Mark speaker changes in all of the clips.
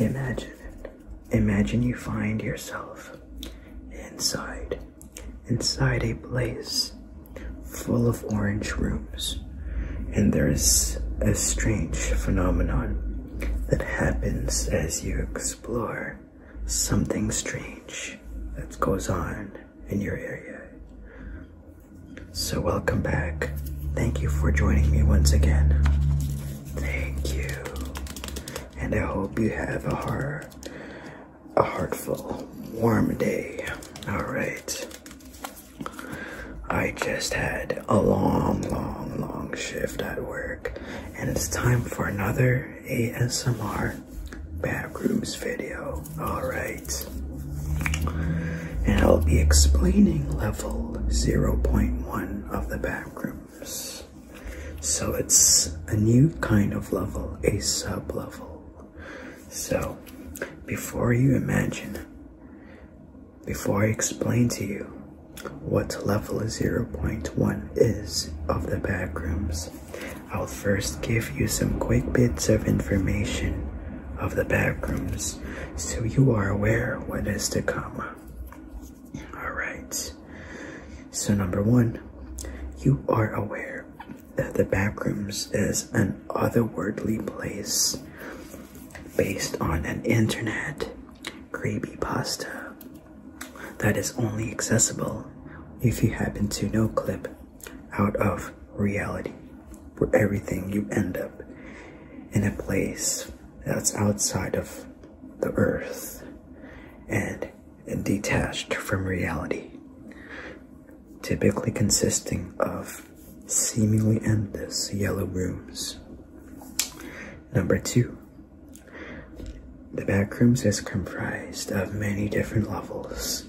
Speaker 1: Imagine it. Imagine you find yourself inside, inside a place full of orange rooms, and there is a strange phenomenon that happens as you explore something strange that goes on in your area. So, welcome back. Thank you for joining me once again. Thank you. And I hope you have a heart a heartful, warm day. All right. I just had a long, long, long shift at work, and it's time for another ASMR bathrooms video. All right. And I'll be explaining level 0.1 of the backrooms. So it's a new kind of level, a sub level. So before you imagine, before I explain to you what level 0.1 is of the backrooms, I'll first give you some quick bits of information of the backrooms so you are aware what is to come. All right. So number one, you are aware that the backrooms is an otherworldly place based on an internet creepy pasta that is only accessible if you happen to know clip out of reality, where everything you end up in a place that's outside of the earth and detached from reality, typically consisting of seemingly endless yellow rooms. Number two, the backrooms is comprised of many different levels,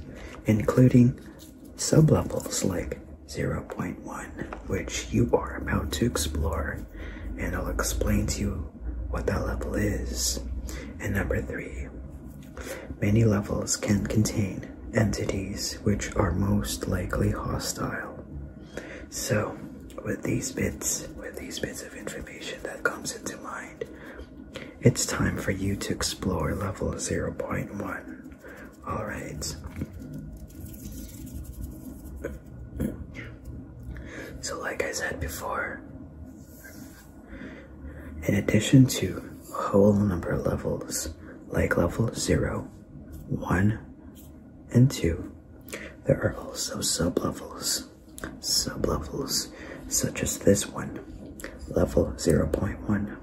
Speaker 1: including sublevels like 0.1, which you are about to explore, and I'll explain to you what that level is. And number three, many levels can contain entities which are most likely hostile. So, with these bits, with these bits of information that comes into mind, it's time for you to explore level 0.1. All right. So, like I said before, in addition to whole number levels, like level 0, 1, and 2, there are also sublevels. Sublevels such as this one, level 0.1,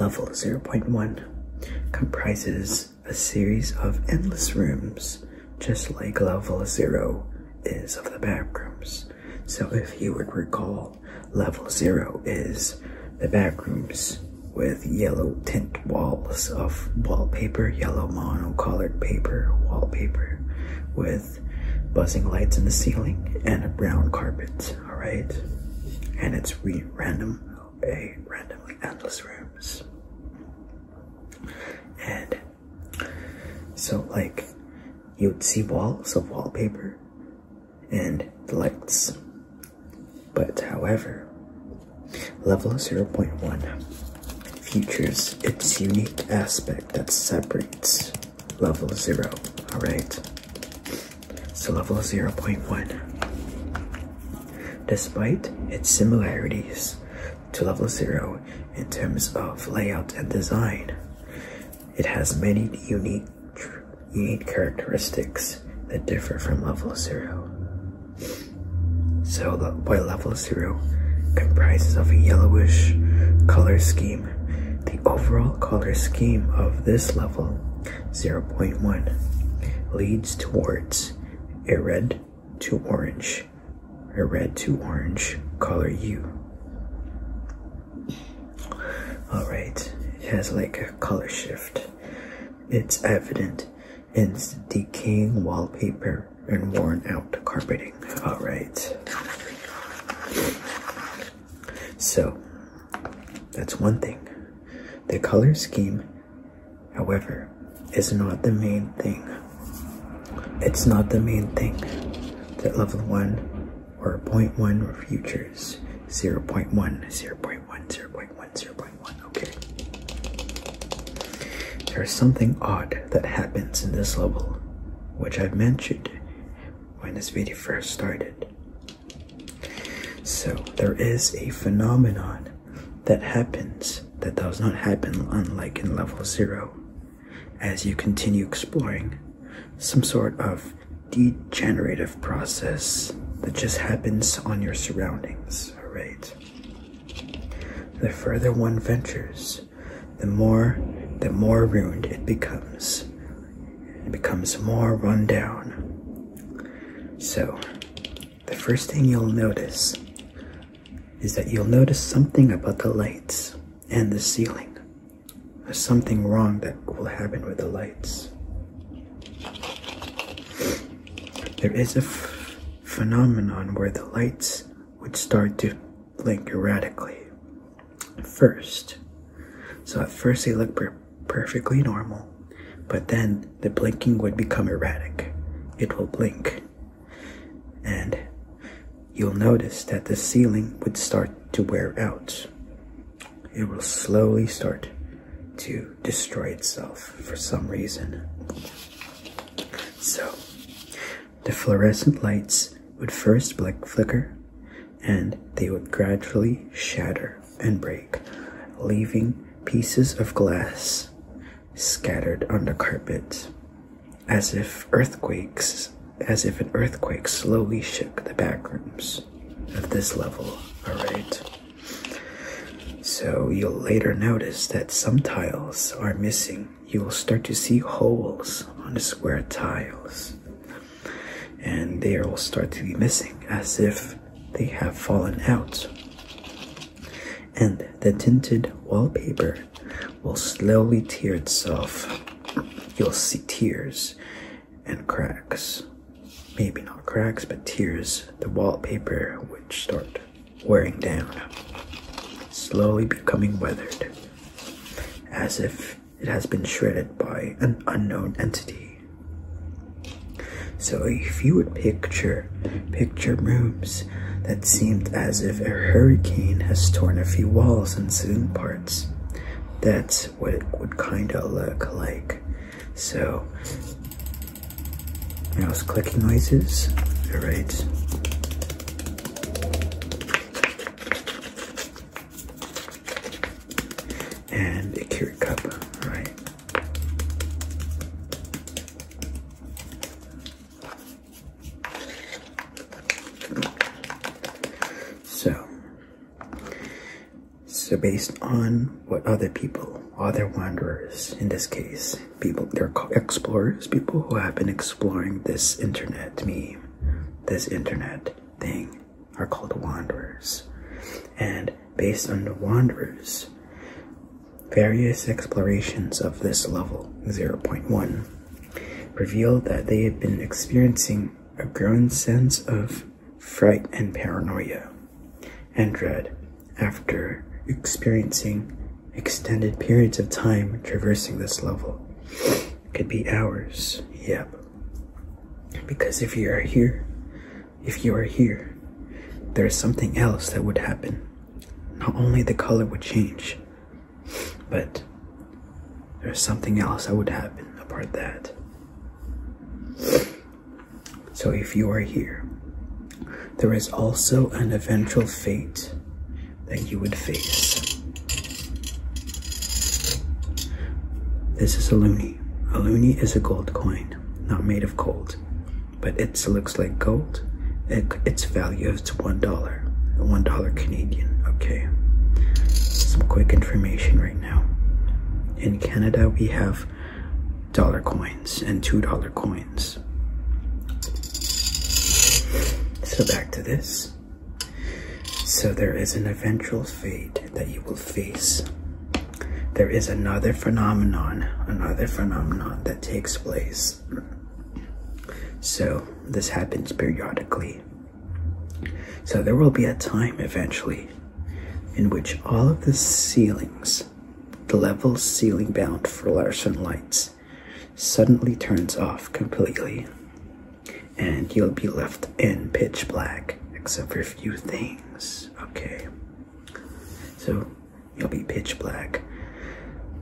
Speaker 1: Level 0.1 comprises a series of endless rooms, just like level 0 is of the back rooms. So, if you would recall, level 0 is the back rooms with yellow tint walls of wallpaper, yellow mono-colored paper, wallpaper, with buzzing lights in the ceiling and a brown carpet. All right, and it's random, a randomly endless rooms. And so, like, you would see walls of wallpaper and lights, but however, level 0.1 features its unique aspect that separates level zero. All right. So level 0.1. Despite its similarities to level zero in terms of layout and design, it has many unique unique characteristics that differ from level zero. So, by level zero comprises of a yellowish color scheme the overall color scheme of this level, 0.1, leads towards a red to orange, a red to orange color U. Alright, it has like a color shift. It's evident It's decaying wallpaper and worn out carpeting. All right. So, that's one thing. The color scheme, however, is not the main thing. It's not the main thing that level 1 or 0.1 futures 0 0.1, 0.1, 0.1, 0.1. Okay. There is something odd that happens in this level which I mentioned when this video first started. So there is a phenomenon that happens that does not happen unlike in level zero. As you continue exploring, some sort of degenerative process that just happens on your surroundings, alright? The further one ventures, the more the more ruined it becomes. It becomes more run down. So the first thing you'll notice is that you'll notice something about the lights and the ceiling. There's something wrong that will happen with the lights. There is a phenomenon where the lights would start to blink erratically first. So at first they looked perfectly normal, but then the blinking would become erratic. It will blink. And you'll notice that the ceiling would start to wear out. It will slowly start to destroy itself for some reason. So, the fluorescent lights would first flicker and they would gradually shatter and break, leaving pieces of glass scattered on the carpet as if earthquakes as if an earthquake slowly shook the back rooms of this level all right so you'll later notice that some tiles are missing you'll start to see holes on the square tiles, and they will start to be missing as if they have fallen out. And the tinted wallpaper will slowly tear itself. You'll see tears and cracks. Maybe not cracks, but tears. The wallpaper would start wearing down, slowly becoming weathered, as if it has been shredded by an unknown entity. So if you would picture picture rooms that seemed as if a hurricane has torn a few walls and saloon parts, that's what it would kinda look like. So mouse clicking noises. All right. And a carrot cup, all right. So, so based on what other people other wanderers, in this case, people, they're explorers, people who have been exploring this internet me, this internet thing, are called wanderers. And based on the wanderers, various explorations of this level, 0.1, revealed that they had been experiencing a growing sense of fright and paranoia and dread after experiencing extended periods of time traversing this level. could be hours, yep. Because if you are here, if you are here, there is something else that would happen. Not only the color would change, but there's something else that would happen apart that. So if you are here, there is also an eventual fate that you would face. This is a loony. A loony is a gold coin, not made of gold, but it looks like gold. It, its value is $1, $1 Canadian, okay? Some quick information right now. In Canada, we have dollar coins and two dollar coins. So back to this. So there is an eventual fate that you will face. There is another phenomenon, another phenomenon that takes place. So this happens periodically. So there will be a time eventually in which all of the ceilings the level ceiling bound for Larson lights suddenly turns off completely, and you'll be left in pitch black except for a few things. Okay, so you'll be pitch black.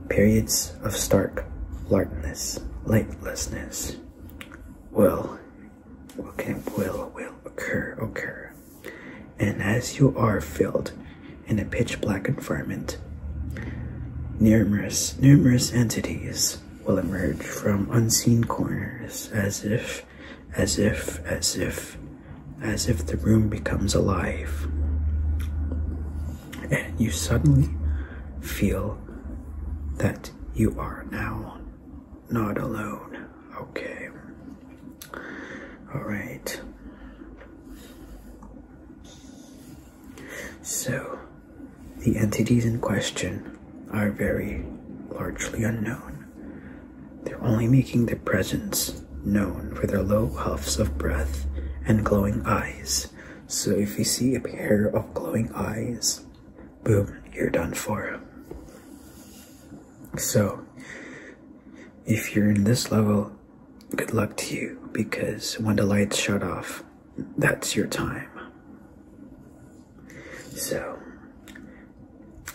Speaker 1: Periods of stark darkness, lightlessness will, okay, will, will occur, Okay. And as you are filled in a pitch black environment, numerous, numerous entities will emerge from unseen corners as if, as if, as if, as if the room becomes alive. And you suddenly feel that you are now not alone. Okay. All right. So, the entities in question are very largely unknown. They're only making their presence known for their low huffs of breath and glowing eyes. So, if you see a pair of glowing eyes, boom, you're done for. So, if you're in this level, good luck to you because when the lights shut off, that's your time. So,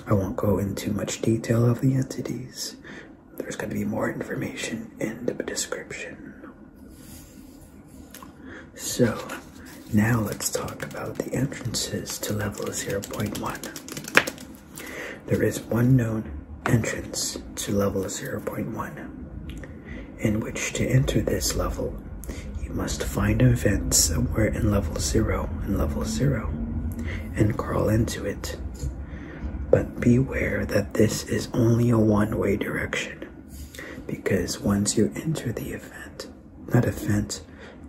Speaker 1: I won't go into much detail of the entities. There's going to be more information in the description. So, now let's talk about the entrances to level 0.1. There is one known entrance to level 0.1, in which to enter this level, you must find a vent somewhere in level 0 and level 0 and crawl into it. But beware that this is only a one way direction, because once you enter the event, not a vent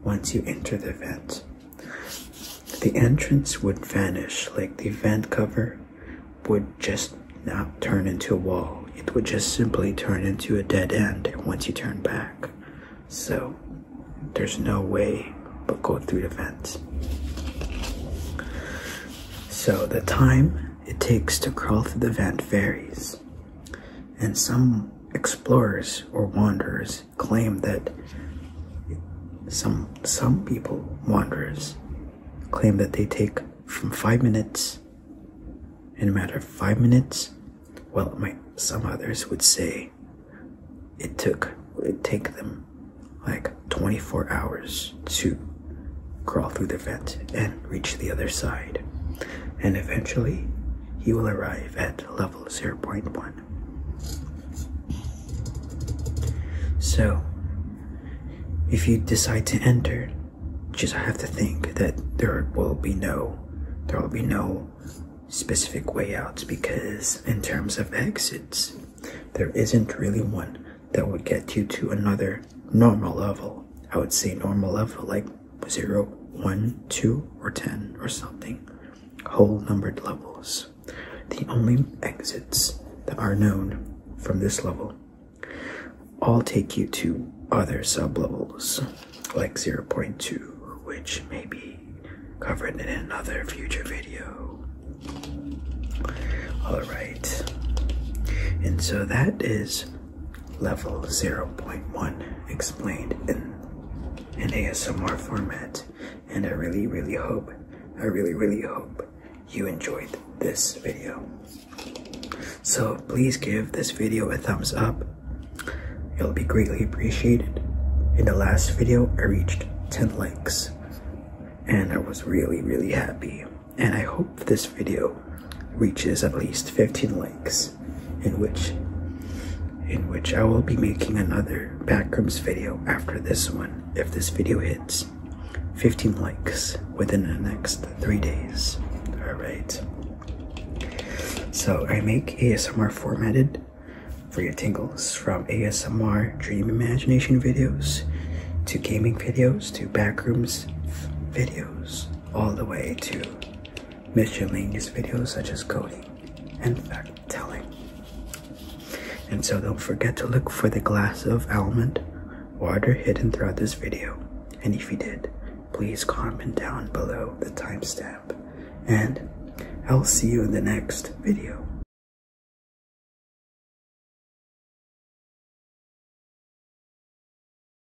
Speaker 1: once you enter the vent, the entrance would vanish like the vent cover would just not turn into a wall. It would just simply turn into a dead end once you turn back. So there's no way but go through the vents. So the time it takes to crawl through the vent varies. And some explorers or wanderers claim that some some people wanderers claim that they take from five minutes in a matter of five minutes well my some others would say it took it take them like 24 hours to crawl through the vent and reach the other side and eventually he will arrive at level level 0.1. So, if you decide to enter, just have to think that there will be no, there will be no specific way out because in terms of exits, there isn't really one that would get you to another normal level. I would say normal level, like Zero, one, two, or 10 or something, whole numbered levels. The only exits that are known from this level all take you to other sublevels, like 0.2, which may be covered in another future video. Alright, and so that is level 0.1 explained in an ASMR format. And I really, really hope, I really, really hope you enjoyed this video. So please give this video a thumbs up. It'll be greatly appreciated. In the last video, I reached 10 likes and I was really, really happy. And I hope this video reaches at least 15 likes, in which in which I will be making another backrooms video after this one if this video hits 15 likes within the next three days. Alright. So I make ASMR formatted for your tingles from ASMR dream imagination videos to gaming videos to backrooms videos all the way to miscellaneous videos such as coding and fact telling. And so don't forget to look for the glass of almond water hidden throughout this video. And if you did, please comment down below the timestamp. And I'll see you in the next video.